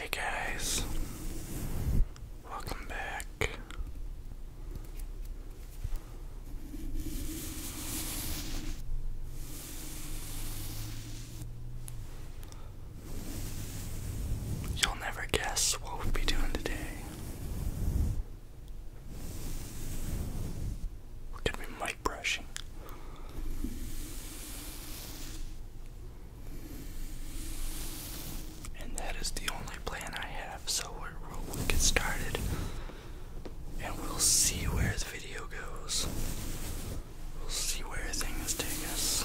Hey guys, welcome back. You'll never guess what we'll be doing today. We're gonna be mic brushing. And that is the only plan I have, so we'll, we'll get started and we'll see where the video goes. We'll see where things take us.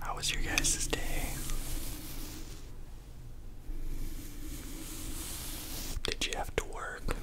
How was your guys' day? Did you have to work?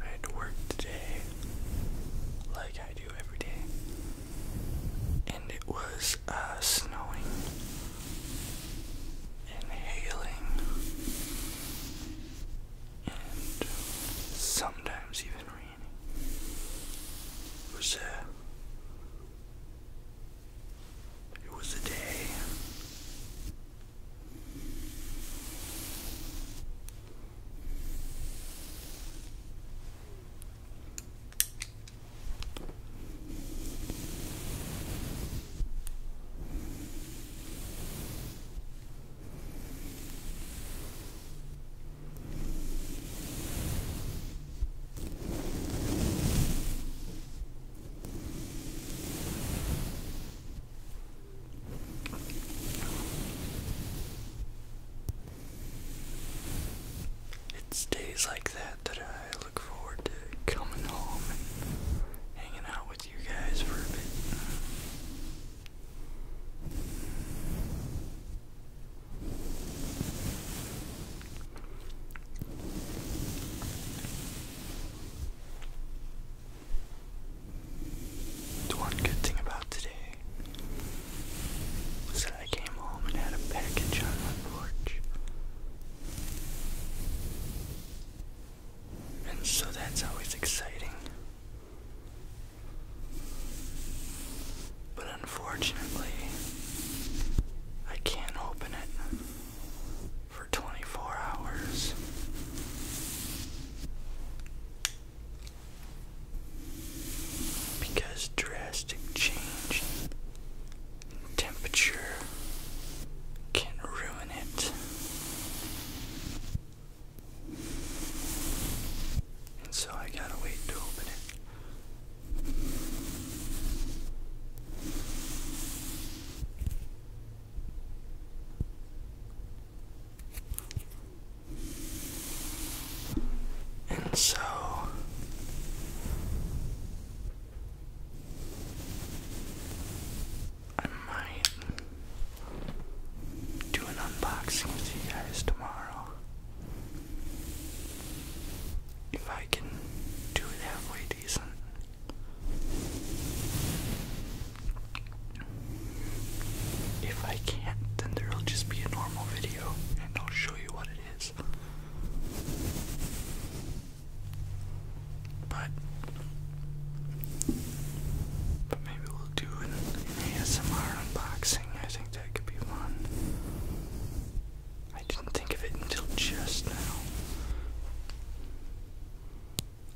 I had to work today, like I do every day, and it was uh, snowing and hailing, and sometimes even raining. was a uh, it was a day. It's days like that that I look forward to coming home and hanging out with you guys for a bit. The one good thing about today was that I came home and had a package on my porch. And so that's always exciting. But unfortunately, I can't open it for 24 hours. Because drastic change in temperature can ruin it. And so I gotta wait to open it. And so I might do an unboxing with you guys tomorrow. If I can do it halfway decent. If I can't, then there'll just be a normal video and I'll show you what it is. But, but maybe we'll do an, an ASMR unboxing. I think that could be one. I didn't think of it until just now.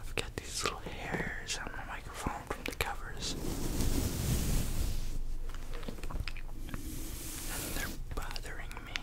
I've got these little hairs on my microphone from the covers. And they're bothering me.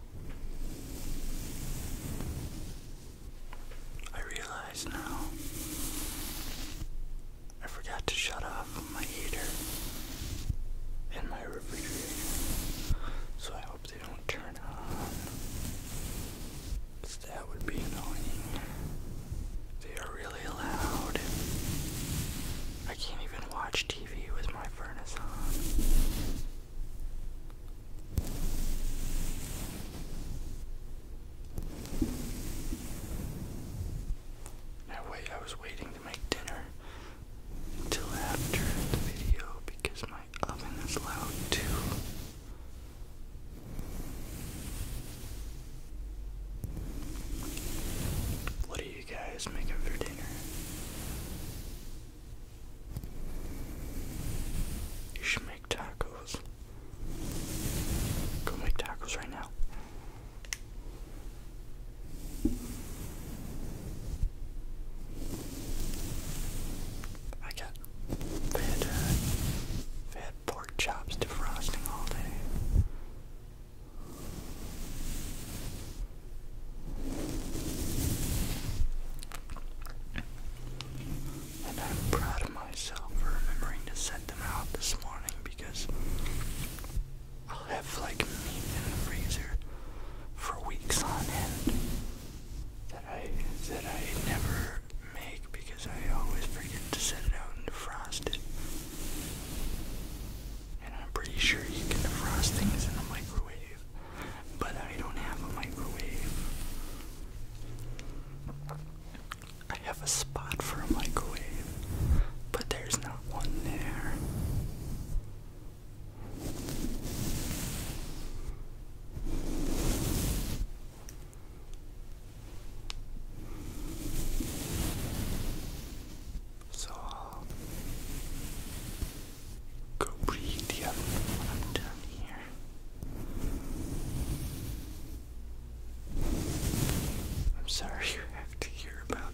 I realize now I forgot to shut off my heater and my refrigerator, so I hope they don't turn on. that would be annoying. They are really loud. I can't even watch TV with my furnace on wait I was waiting to make dinner until after the video because my oven is loud too. What do you guys make for dinner? You should make tacos. Go make tacos right now. I got fed, uh, pork chops defrosting all day. And I'm proud of myself for remembering to set them out this morning because I'll have like meat in the freezer for weeks on end that I that I never make because I always forget to set it out and defrost it. And I'm pretty sure you can defrost things in the microwave but I don't have a microwave. I have a spot for a microwave, but there's not one there. So I'll go read the other one am here. I'm sorry you have to hear about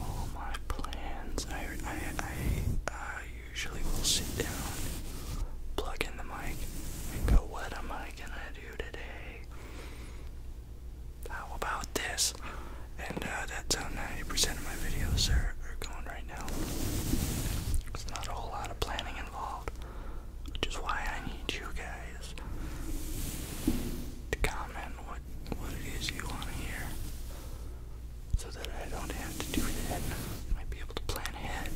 all my plans. I I I usually will sit down, plug in the mic, and go, what am I gonna do today? How about this? And uh, that's how 90% of my videos are, are going right now. There's not a whole lot of planning involved, which is why I need you guys to comment what, what it is you want to hear so that I don't have to do that. might be able to plan ahead,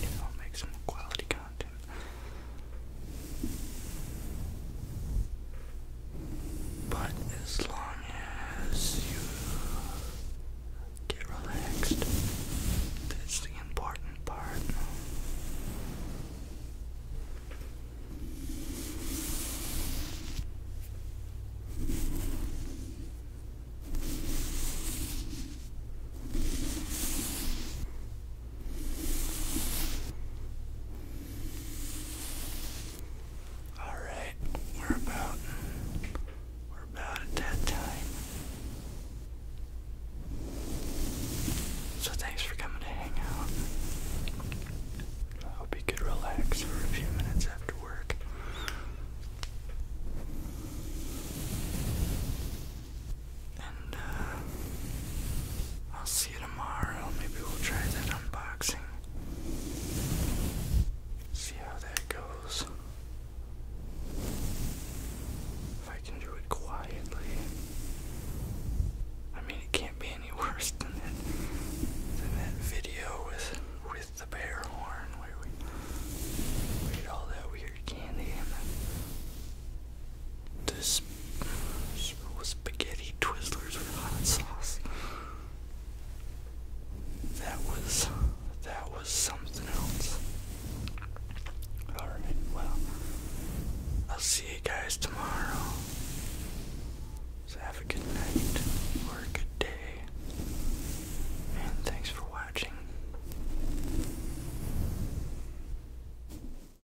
you make some quality content. But as long as you get relaxed, that's the important part. All right, we're about we're about at that time. So thanks for coming to hang out. I hope you could relax for a few minutes after work. Uh, I'll see you tomorrow. Maybe we'll try that unboxing. See how that goes. If I can do it quietly. I mean, it can't be any worse than that, than that video with with the bear horn where we ate all that weird candy and this spaghetti Twizzlers with hot sauce. That was that was something else. All right, well, I'll see you guys tomorrow. have a good night or a good day, and thanks for watching.